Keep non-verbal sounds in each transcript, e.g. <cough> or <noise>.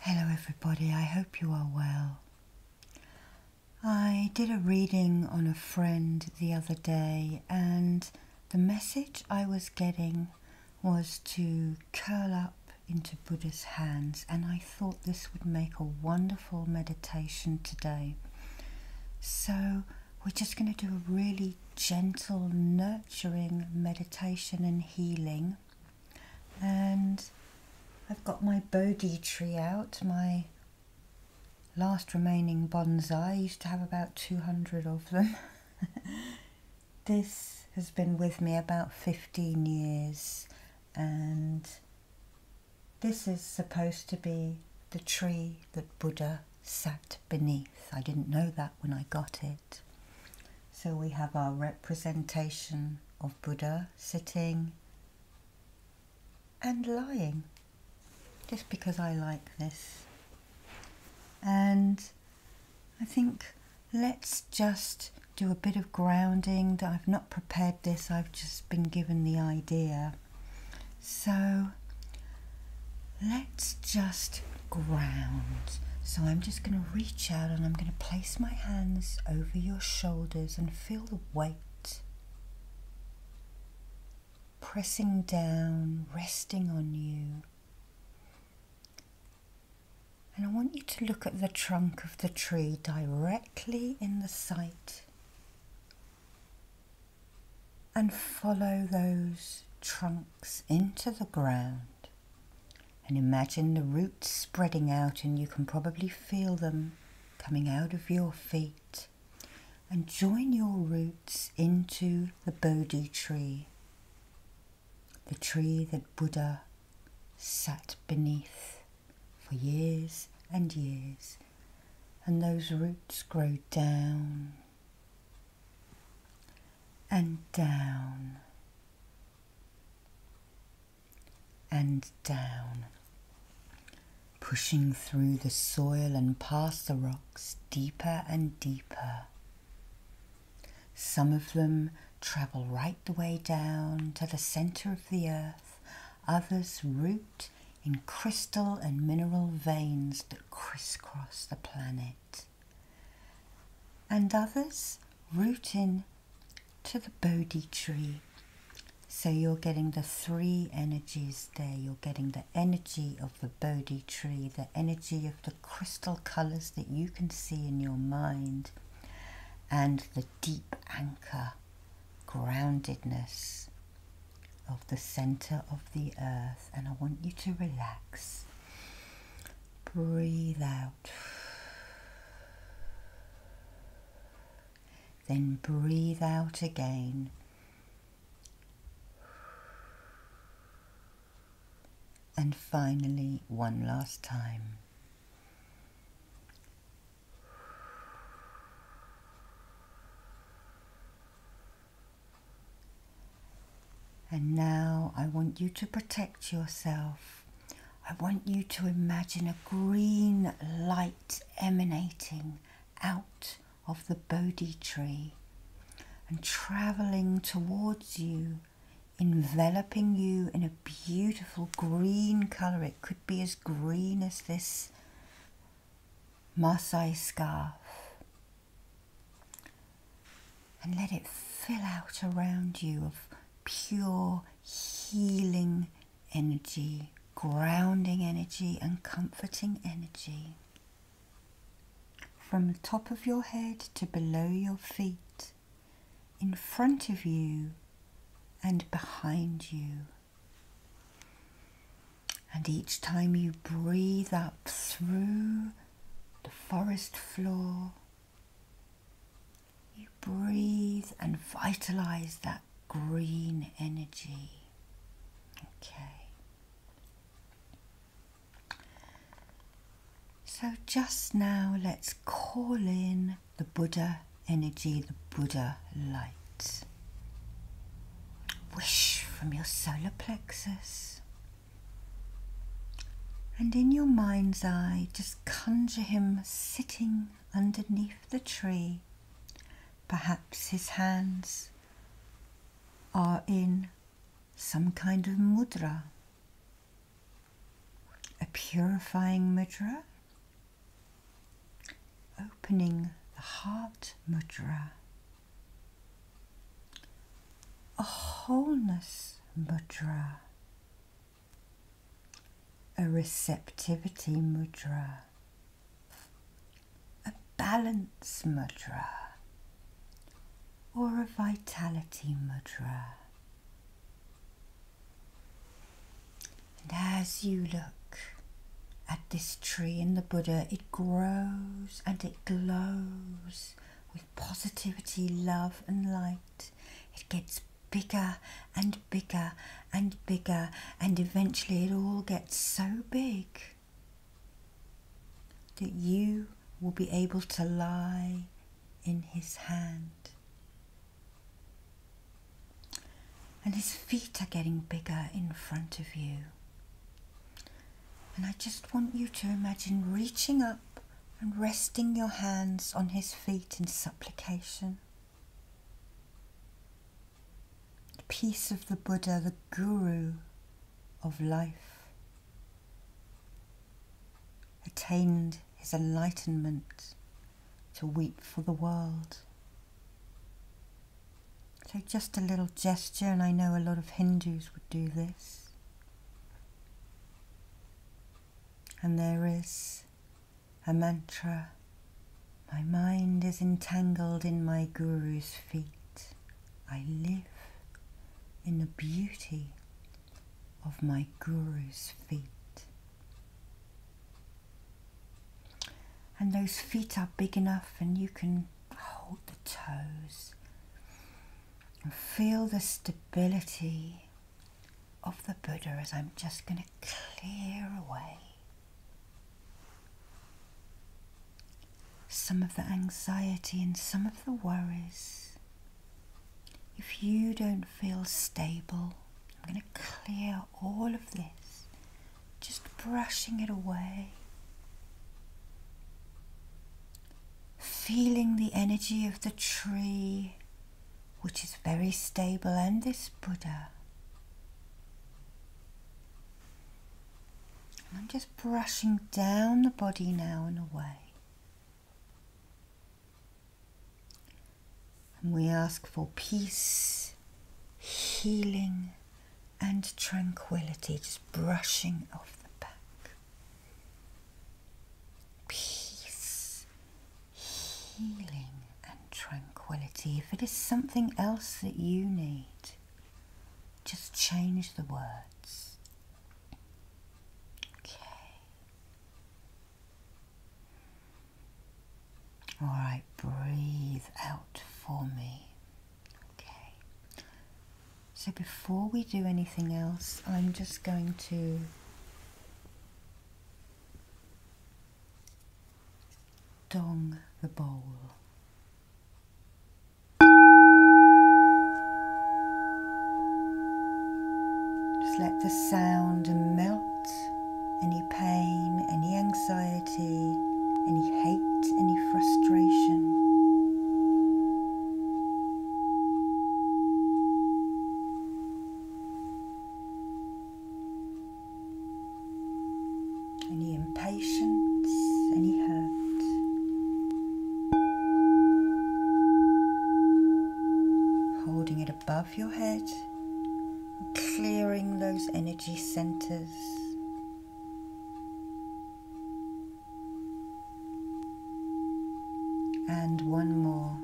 Hello, everybody. I hope you are well. I did a reading on a friend the other day, and the message I was getting was to curl up into Buddha's hands, and I thought this would make a wonderful meditation today. So, we're just going to do a really gentle, nurturing meditation and healing. And I've got my Bodhi tree out, my last remaining bonsai. I used to have about 200 of them. <laughs> this has been with me about 15 years and this is supposed to be the tree that Buddha sat beneath. I didn't know that when I got it. So we have our representation of Buddha sitting and lying, just because I like this. And I think let's just do a bit of grounding. I've not prepared this, I've just been given the idea. So let's just ground. So I'm just going to reach out and I'm going to place my hands over your shoulders and feel the weight. Pressing down, resting on you. And I want you to look at the trunk of the tree directly in the sight and follow those trunks into the ground. And imagine the roots spreading out, and you can probably feel them coming out of your feet. And join your roots into the Bodhi tree, the tree that Buddha sat beneath for years and years. And those roots grow down and down and down, pushing through the soil and past the rocks deeper and deeper. Some of them travel right the way down to the center of the earth, others root in crystal and mineral veins that crisscross the planet and others root in to the Bodhi tree. So you're getting the three energies there. You're getting the energy of the Bodhi tree, the energy of the crystal colors that you can see in your mind, and the deep anchor, groundedness of the center of the earth. And I want you to relax breathe out. Then breathe out again. And finally, one last time. And now I want you to protect yourself. I want you to imagine a green light emanating out of the Bodhi tree and traveling towards you, enveloping you in a beautiful green colour. It could be as green as this Masai scarf and let it fill out around you of pure healing energy, grounding energy, and comforting energy. From the top of your head to below your feet, in front of you and behind you. And each time you breathe up through the forest floor, you breathe and vitalize that green energy. Okay. So, just now, let's call in the Buddha energy, the Buddha light. Wish from your solar plexus. And in your mind's eye, just conjure him sitting underneath the tree. Perhaps his hands are in some kind of mudra, a purifying mudra, opening the heart mudra, a wholeness mudra, a receptivity mudra, a balance mudra, or a vitality mudra. And as you look at this tree in the Buddha, it grows and it glows positivity, love, and light. It gets bigger and bigger and bigger, and eventually it all gets so big that you will be able to lie in his hand. And his feet are getting bigger in front of you. And I just want you to imagine reaching up and resting your hands on his feet in supplication. The peace of the Buddha, the Guru of life, attained his enlightenment to weep for the world. So, just a little gesture, and I know a lot of Hindus would do this. And there is a mantra My mind is entangled in my guru's feet. I live in the beauty of my guru's feet. And those feet are big enough, and you can hold the toes and feel the stability of the Buddha as I'm just going to clear away some of the anxiety and some of the worries. If you don't feel stable, I'm going to clear all of this, just brushing it away feeling the energy of the tree, which is very stable, and this Buddha. I'm just brushing down the body now and away. And we ask for peace, healing, and tranquility, just brushing off the back peace, healing, and tranquility. If it is something else that you need, just change the words. Okay. All right, breathe out for me. Okay. So before we do anything else, I'm just going to dong the bowl. Just let the sound melt any pain, any anxiety, any hate, any frustration any impatience, any hurt. Holding it above your head, clearing those energy centers and one more.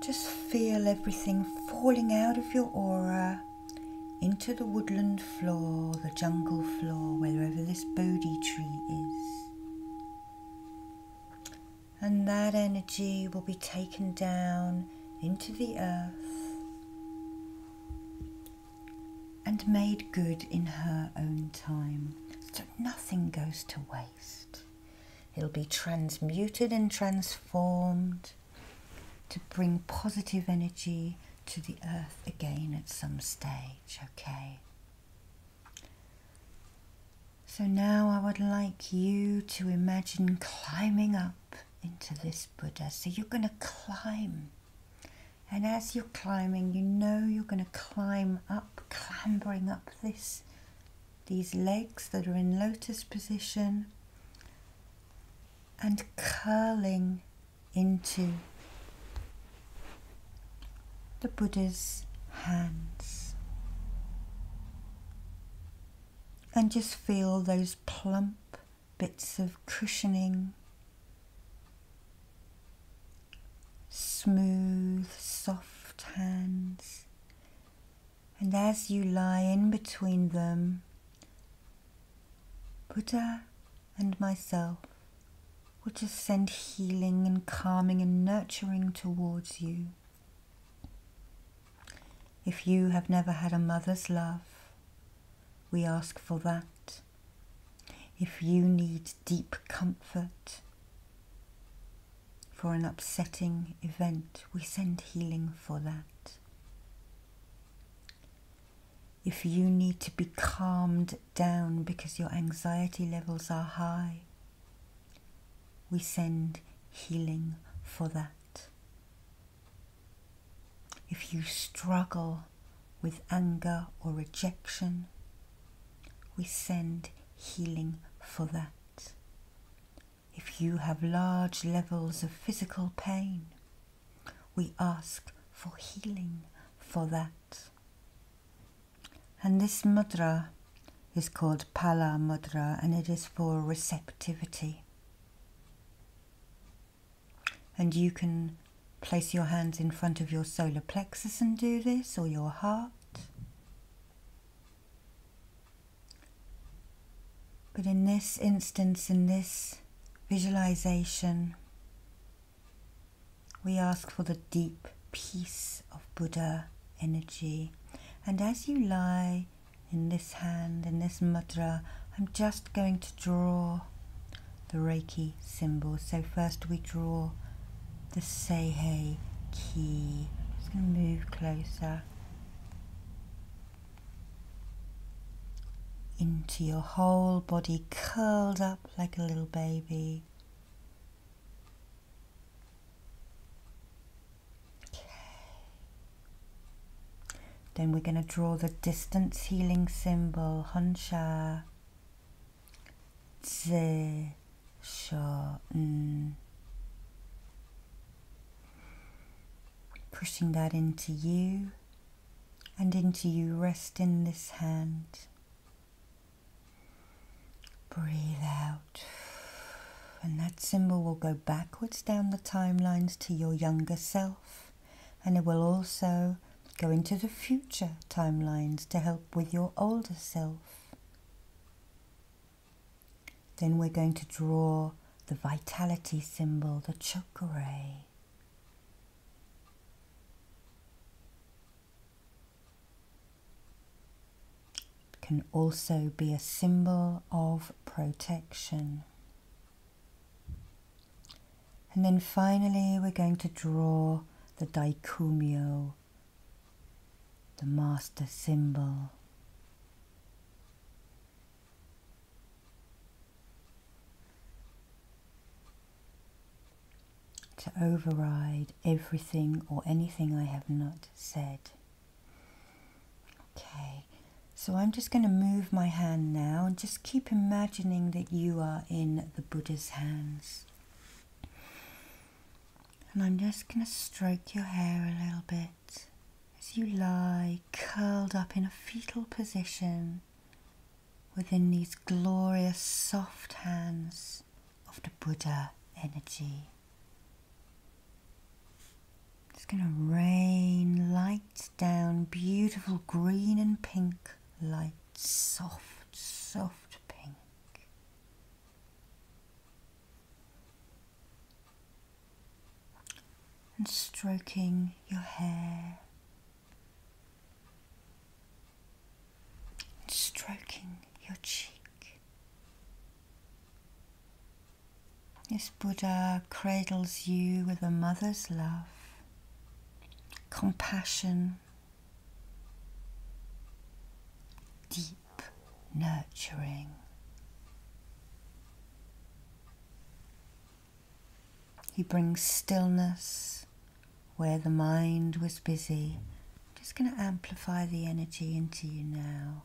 Just feel everything falling out of your aura into the woodland floor, the jungle floor, wherever this Bodhi tree is. And that energy will be taken down into the earth and made good in her own time. So nothing goes to waste. It'll be transmuted and transformed to bring positive energy to the earth again at some stage, okay? So now I would like you to imagine climbing up into this Buddha. So you're going to climb. And as you're climbing, you know you're going to climb up, clambering up this these legs that are in lotus position and curling into the Buddha's hands. And just feel those plump bits of cushioning, smooth, soft hands. And as you lie in between them, Buddha and myself will just send healing and calming and nurturing towards you. If you have never had a mother's love, we ask for that. If you need deep comfort for an upsetting event, we send healing for that. If you need to be calmed down because your anxiety levels are high, we send healing for that. If you struggle with anger or rejection, we send healing for that. If you have large levels of physical pain, we ask for healing for that. And this mudra is called Pala Mudra and it is for receptivity. And you can place your hands in front of your solar plexus and do this, or your heart. But in this instance, in this visualization, we ask for the deep peace of Buddha energy. And as you lie in this hand, in this mudra, I'm just going to draw the Reiki symbol. So first we draw the Seihei key. i just going to move closer into your whole body curled up like a little baby. Then we're going to draw the distance healing symbol, Hunsha. Zi, Pushing that into you and into you, rest in this hand. Breathe out and that symbol will go backwards down the timelines to your younger self and it will also go into the future timelines to help with your older self. Then we're going to draw the vitality symbol, the chakra can also be a symbol of protection. And then finally, we're going to draw the daikumyo, the master symbol. To override everything or anything I have not said. Okay, so I'm just going to move my hand now and just keep imagining that you are in the Buddha's hands. And I'm just going to stroke your hair a little bit as you lie curled up in a fetal position within these glorious soft hands of the Buddha energy. It's going to rain lights down, beautiful green and pink light, soft, soft pink. And stroking your hair. And stroking your cheek. This Buddha cradles you with a mother's love, compassion, deep nurturing. He brings stillness where the mind was busy. I'm just going to amplify the energy into you now.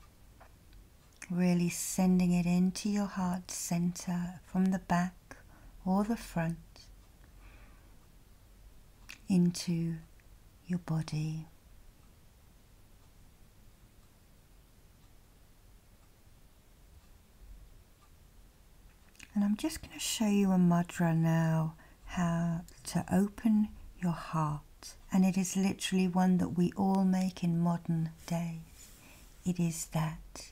Really sending it into your heart center from the back or the front into your body. And I'm just going to show you a mudra now how to open your heart and it is literally one that we all make in modern days. It is that.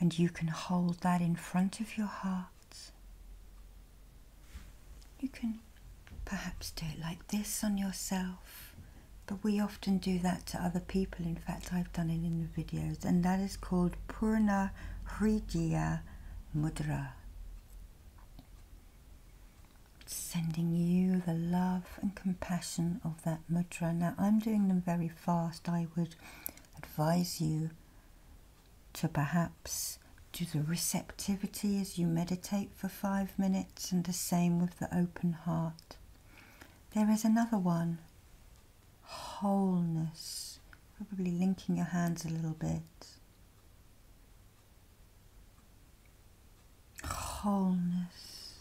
And you can hold that in front of your heart. You can perhaps do it like this on yourself, but we often do that to other people. In fact, I've done it in the videos, and that is called Purna Hridaya Mudra sending you the love and compassion of that mudra. Now, I'm doing them very fast. I would advise you to perhaps do the receptivity as you meditate for five minutes, and the same with the open heart. There is another one wholeness, probably linking your hands a little bit wholeness,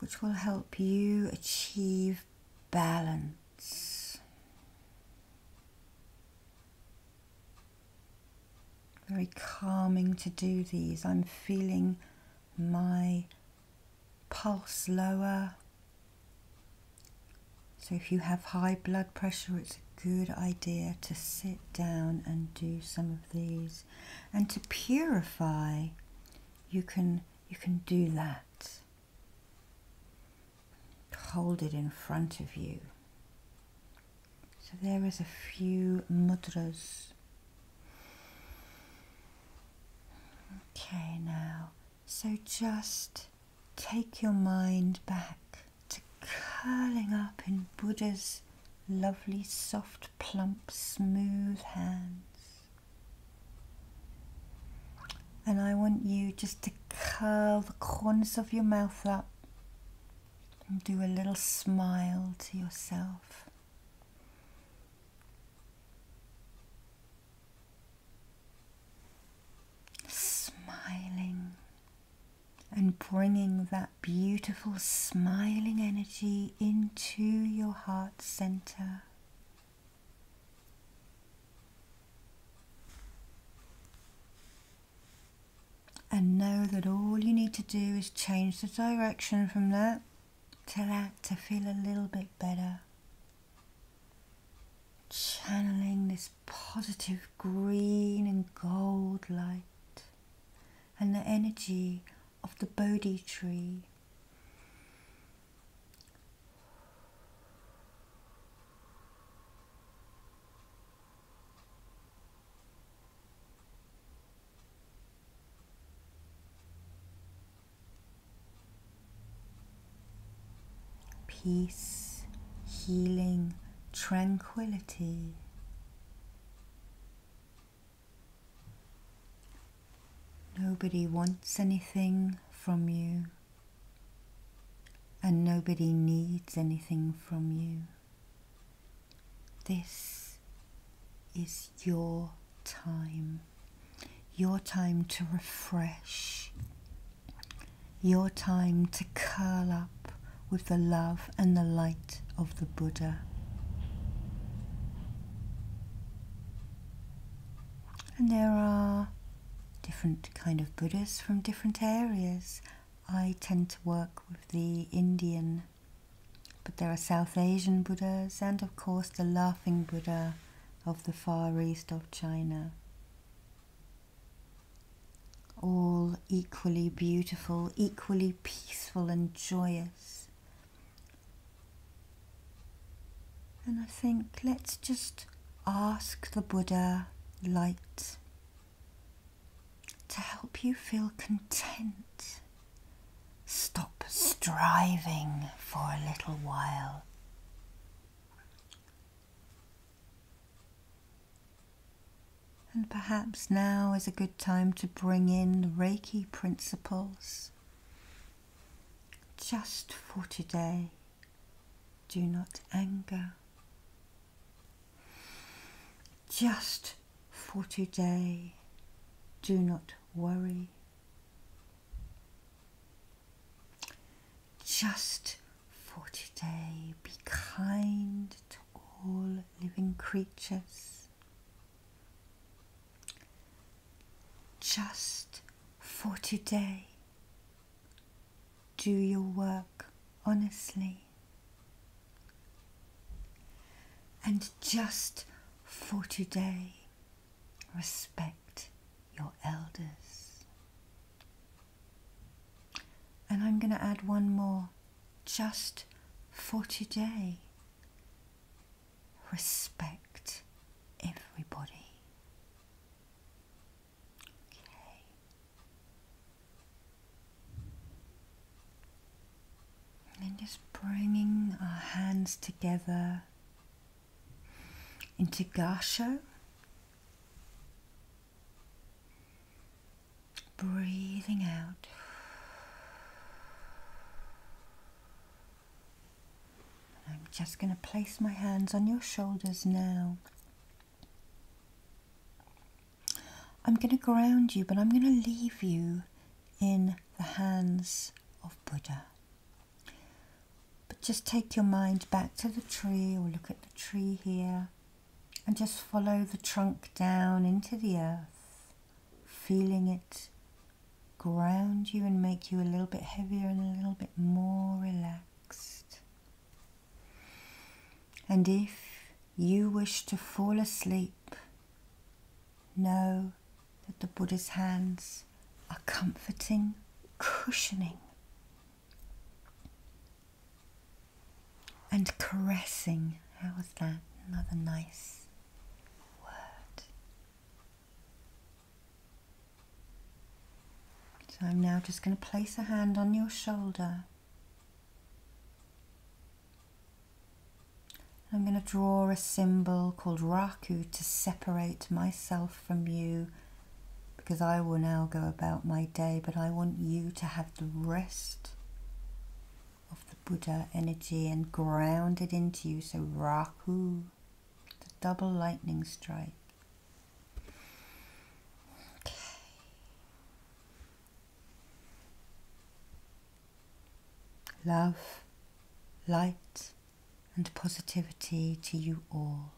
which will help you achieve balance. Very calming to do these. I'm feeling my pulse lower. So if you have high blood pressure, it's good idea to sit down and do some of these and to purify you can you can do that hold it in front of you so there is a few mudras okay now so just take your mind back to curling up in Buddha's lovely, soft, plump, smooth hands. And I want you just to curl the corners of your mouth up and do a little smile to yourself. Smiling and bringing that beautiful smiling energy into your heart center. And know that all you need to do is change the direction from that to that to feel a little bit better. Channeling this positive green and gold light and the energy of the Bodhi tree. Peace, healing, tranquility. Nobody wants anything from you, and nobody needs anything from you. This is your time, your time to refresh, your time to curl up with the love and the light of the Buddha. And there are different kind of Buddhas from different areas. I tend to work with the Indian, but there are South Asian Buddhas and of course the laughing Buddha of the far east of China all equally beautiful, equally peaceful and joyous. And I think let's just ask the Buddha light to help you feel content. Stop striving for a little while. And perhaps now is a good time to bring in the Reiki principles just for today. Do not anger. Just for today. Do not worry. Just for today, be kind to all living creatures. Just for today, do your work honestly. And just for today, respect your elders. And I'm going to add one more just for today. Respect everybody. Okay. And then just bringing our hands together into Gasho breathing out. I'm just going to place my hands on your shoulders now. I'm going to ground you, but I'm going to leave you in the hands of Buddha. But just take your mind back to the tree or look at the tree here. And just follow the trunk down into the earth, feeling it ground you and make you a little bit heavier and a little bit more relaxed. And if you wish to fall asleep, know that the Buddha's hands are comforting, cushioning and caressing, how was that? Another nice word. So I'm now just going to place a hand on your shoulder. I'm going to draw a symbol called Raku to separate myself from you because I will now go about my day, but I want you to have the rest of the Buddha energy and ground it into you. So Rahu, the double lightning strike. Love, light and positivity to you all.